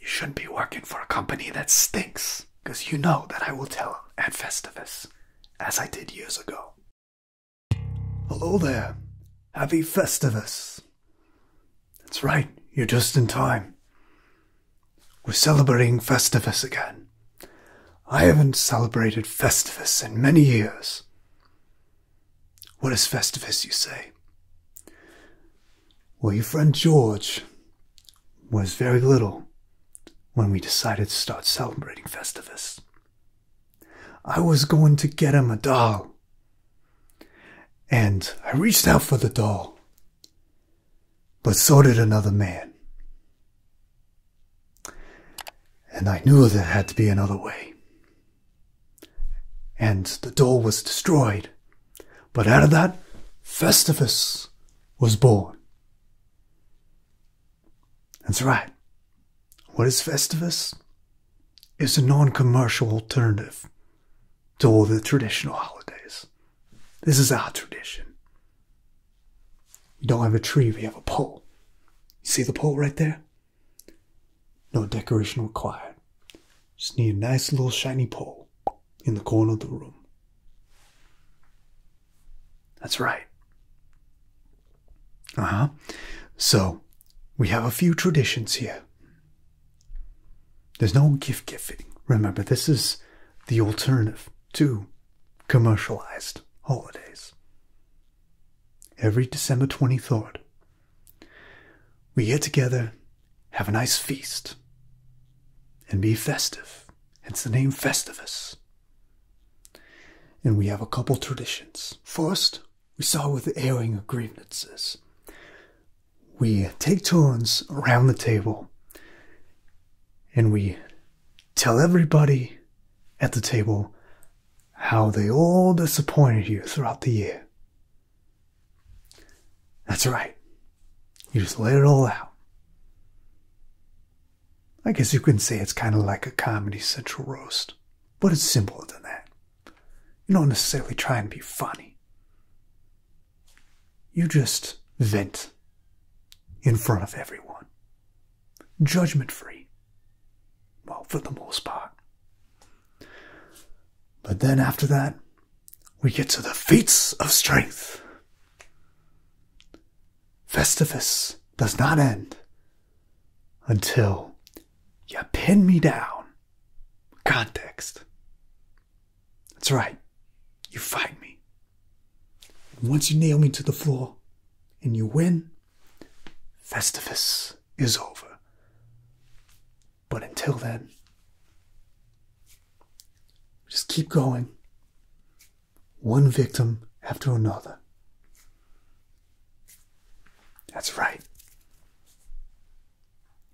You shouldn't be working for a company that stinks, because you know that I will tell at Festivus, as I did years ago. Hello there. Happy Festivus. That's right, you're just in time. We're celebrating Festivus again. I haven't celebrated Festivus in many years. What is Festivus, you say? Well, your friend George was very little when we decided to start celebrating Festivus. I was going to get him a doll. And I reached out for the doll. But so did another man. And I knew there had to be another way and the doll was destroyed. But out of that, Festivus was born. That's right. What is Festivus? It's a non commercial alternative to all the traditional holidays. This is our tradition. We don't have a tree, we have a pole. You see the pole right there? No decoration required. Just need a nice little shiny pole in the corner of the room. That's right. Uh huh. So, we have a few traditions here. There's no gift giving. Remember, this is the alternative to commercialized holidays. Every December 23rd, we get together, have a nice feast, and be festive. Hence the name Festivus. And we have a couple traditions. First, we start with the airing of grievances. We take turns around the table and we tell everybody at the table how they all disappointed you throughout the year. That's right. You just let it all out. I guess you can say it's kind of like a Comedy Central roast, but it's simpler than that. you do not necessarily try and be funny. You just vent in front of everyone, judgment free well, for the most part. But then after that, we get to the feats of strength. Festivus does not end until you pin me down. Context. That's right. You fight me. once you nail me to the floor and you win, Festivus is over. But until then, just keep going. One victim after another. That's right.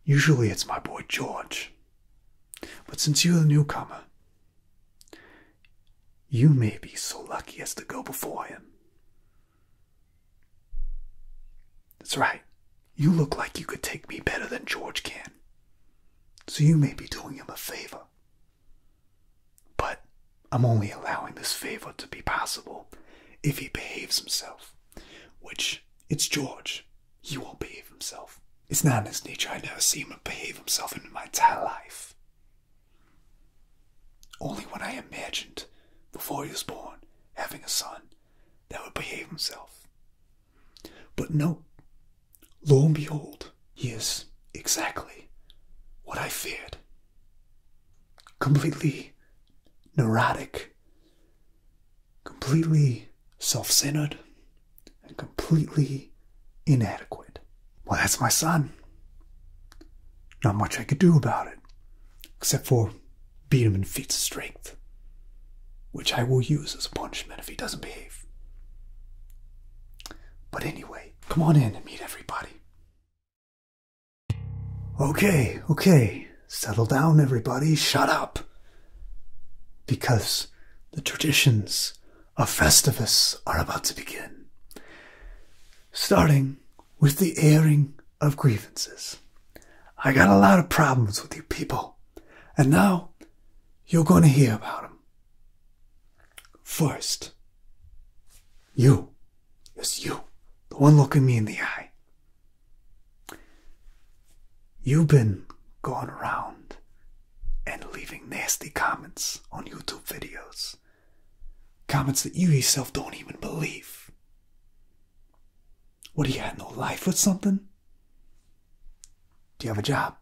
Usually it's my boy George. But since you're the newcomer, you may be so lucky as to go before him. That's right. You look like you could take me better than George can. So you may be doing him a favor. But I'm only allowing this favor to be possible if he behaves himself, which it's George. He won't behave himself. It's not in his nature. I never see him behave himself in my entire life. Only when I imagined, before he was born, having a son that would behave himself. But no, lo and behold, he is exactly what I feared. Completely neurotic, completely self centered, and completely inadequate. Well, that's my son. Not much I could do about it, except for beat him in feats of strength, which I will use as a punishment if he doesn't behave. But anyway, come on in and meet everybody. Okay, okay, settle down, everybody, shut up. Because the traditions a Festivus are about to begin, starting with the airing of grievances. I got a lot of problems with you people, and now you're going to hear about them. First, you, yes, you, the one looking me in the eye. You've been going around and leaving nasty comments on YouTube videos. Comments that you yourself don't even believe. What, do you have no life or something? Do you have a job?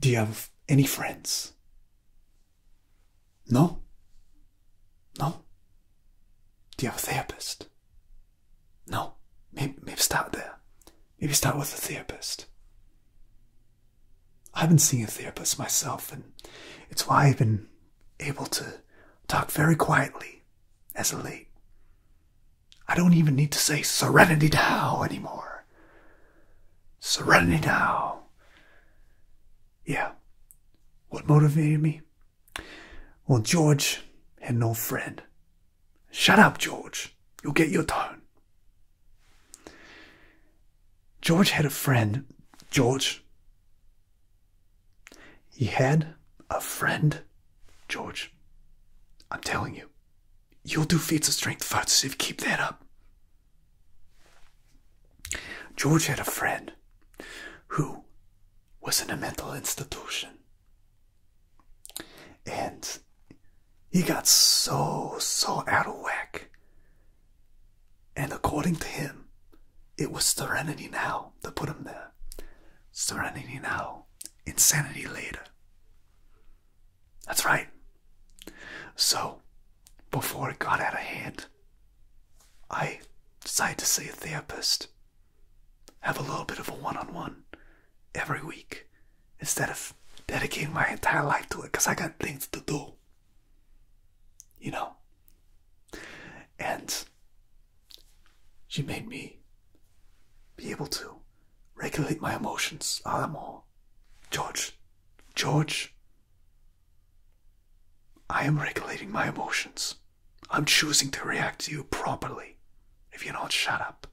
Do you have any friends? No? No? Do you have a therapist? No? Maybe, maybe start there. Maybe start with a therapist. I've been seeing a therapist myself, and it's why I've been able to talk very quietly as of late. I don't even need to say Serenity Now anymore. Serenity Now. Yeah. What motivated me? Well, George had no friend Shut up, George. You'll get your tone. George had a friend. George. He had a friend. George. I'm telling you. You'll do feats of strength first if you keep that up. George had a friend who was in a mental institution. And he got so, so out of whack. And according to him, it was serenity now that put him there. Serenity now, insanity later. That's right. So, before it got out of hand, I decided to see a therapist have a little bit of a one on one every week instead of dedicating my entire life to it because I got things to do. You know? And she made me be able to regulate my emotions a ah, more. George, George, I am regulating my emotions. I'm choosing to react to you properly. If you don't shut up.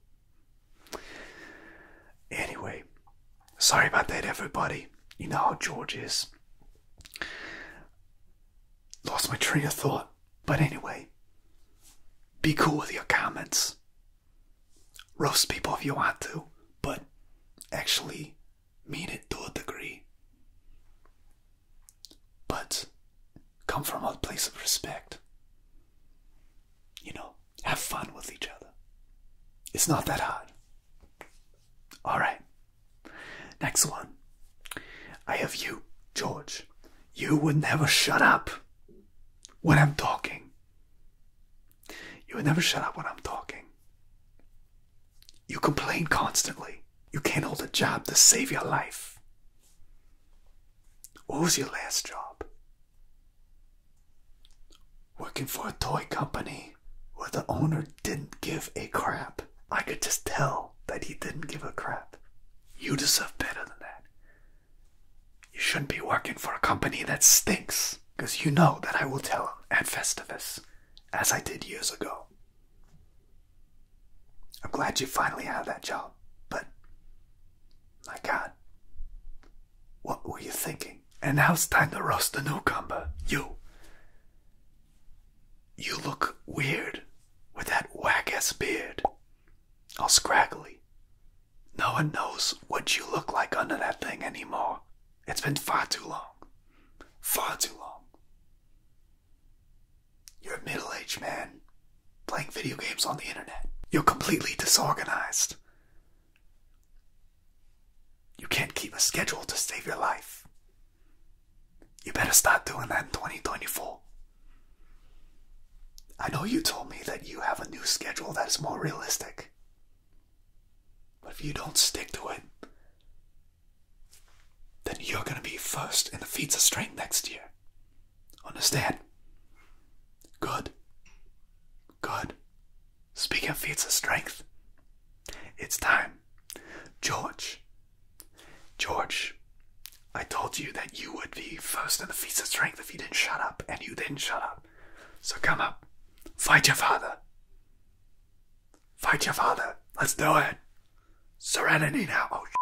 Anyway, sorry about that, everybody. You know how George is. Lost my train of thought. But anyway, be cool with your comments. Roast people if you want to, but actually mean it to a degree but come from a place of respect. You know, have fun with each other. It's not that hard. All right. Next one. I have you, George. You would never shut up when I'm talking. You would never shut up when I'm talking. You complain constantly. You can't hold a job to save your life. What was your last job? Working for a toy company where the owner didn't give a crap. I could just tell that he didn't give a crap. You deserve better than that. You shouldn't be working for a company that stinks, because you know that I will tell at Festivus, as I did years ago. I'm glad you finally have that job, but my God, what were you thinking? And now it's time to roast the cucumber. You, you look weird with that whack ass beard, all scraggly. No one knows what you look like under that thing anymore. It's been far too long. Far too long. You're a middle aged man playing video games on the internet. You're completely disorganized. You can't keep a schedule to save your life. You better start doing that in 2024. I know you told me that you have a new schedule that is more realistic. But if you don't stick to it, then you're gonna be first in the feats of strength next year. Understand? Good. Good. Speaking of feats of strength, it's time. George. George, I told you that you would be first in the feats of strength if you didn't shut up, and you didn't shut up. So come up. Fight your father. Fight your father. Let's do it. Serenity now. Oh, shit.